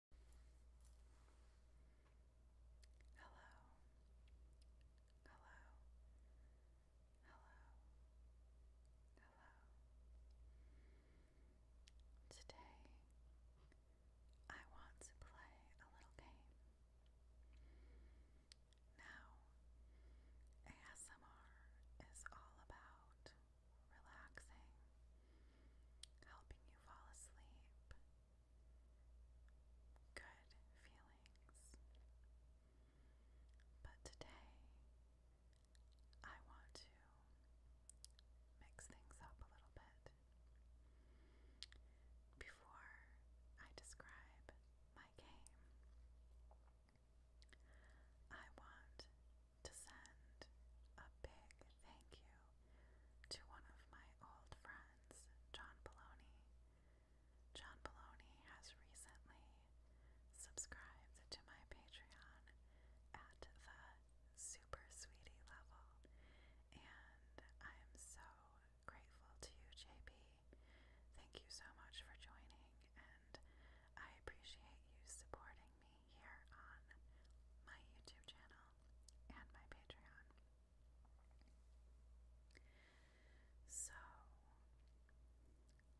Hello. Hello. Hello. Hello. Today I want to play a little game. Now, ASMR is all about relaxing, helping you fall asleep, good feelings. But today, I want to mix things up a little bit. Before I describe my game, I want to send a big thank you to one of my old friends, John Baloney. John Baloney has recently subscribed to my Patreon at the super sweetie level, and I am so grateful to you, JB. Thank you so much for joining, and I appreciate you supporting me here on my YouTube channel and my Patreon. So,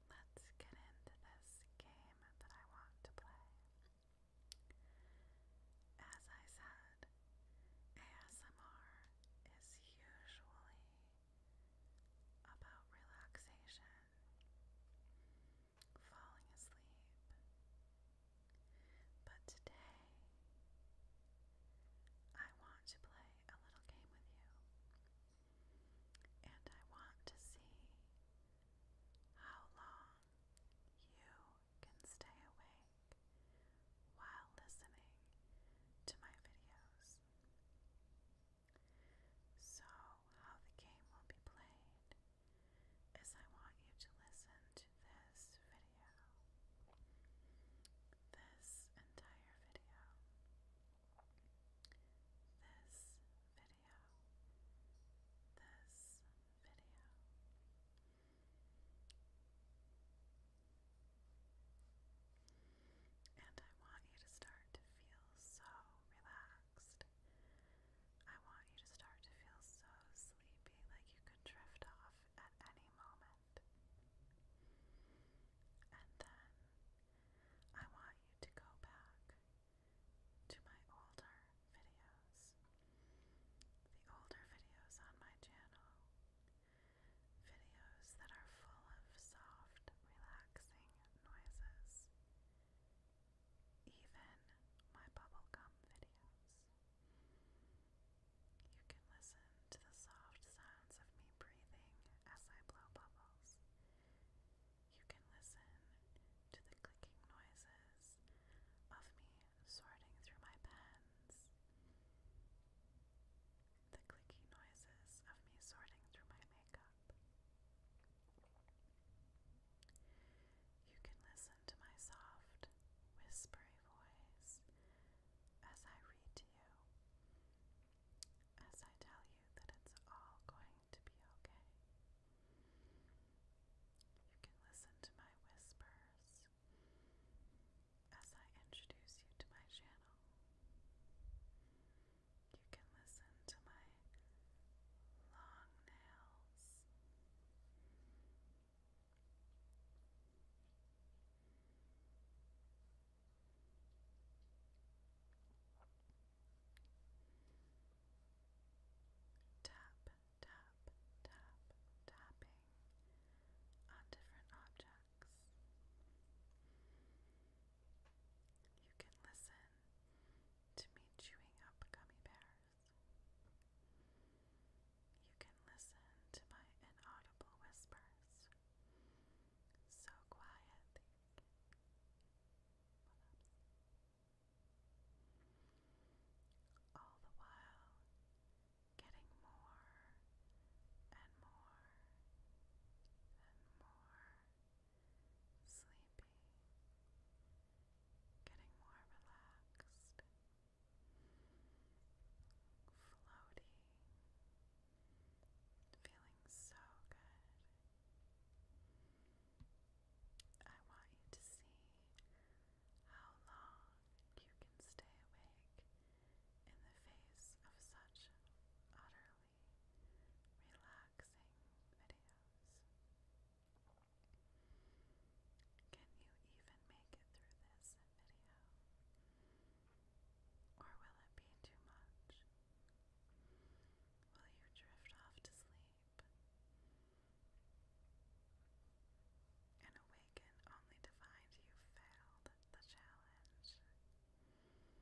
let's get into this game that I want to play. As I said, ASMR is usually about relaxation falling asleep. But today, I want to play a little game with you. And I want to see how long you can stay awake while listening to my videos. So, how the game will be played is I want you to listen to this video. This entire video. This video. This video. And I want you to start to feel so relaxed I want you to start to feel so sleepy, like you could drift off at any moment. And then I want you to go back to my older videos, the older videos on my channel, videos that are full of soft, relaxing noises even my bubblegum videos. You can listen to the soft sounds of me breathing as I blow bubbles. You can listen to the clicking noises of me sorting through my pens, the clicky noises of me sorting through my makeup. You can listen to my soft, whispery voice as I read to you, as I tell you that it's all going to be okay. You can listen to my whispers as I introduce you to my channel you can listen to my long nails. Tap, tap, tap, tapping on different objects. You can listen to me chewing up gummy bears. You can listen to my inaudible whispers, so quiet all the while getting more and more and more sleepy, getting more relaxed, floaty, feeling so good. I want you to see how long you can stay awake in the face of such utterly relaxing videos. Can you even make it through this video? Or will it be too much? Will you drift off to sleep and awaken only to find you failed the challenge? Relaxing hand movements,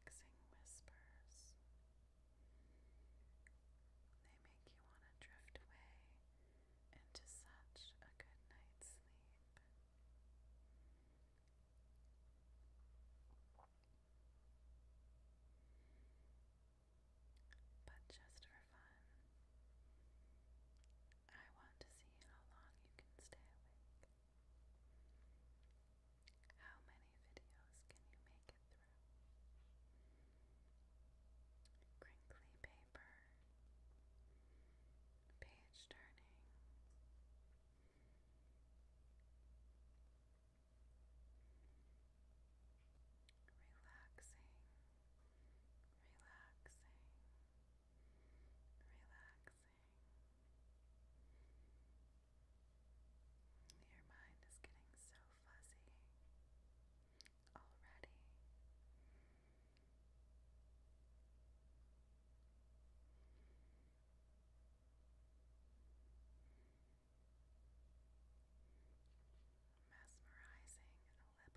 relaxing whispers, they make you want to drift away into such a good night's sleep. But just for fun, I want to see how long you can stay awake. How many videos can you make it through? Crinkly paper, page turning. Relaxing, relaxing, relaxing, your mind is getting so fuzzy already. Mesmerizing lip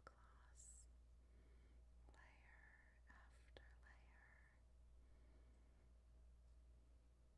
gloss, layer after layer.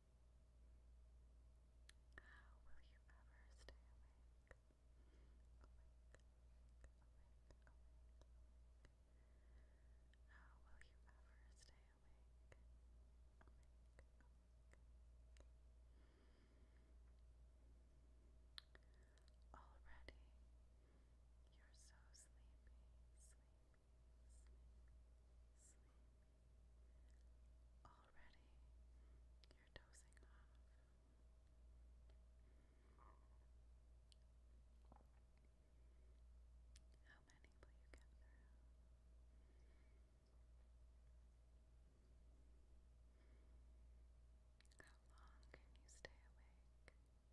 How will you ever stay awake? Awake, awake, awake, How will you ever stay awake? Awake, awake. Already, you're so sleepy, sleepy, sleepy, sleepy. Already, you're dozing off. How many will you get through? How long can you stay awake?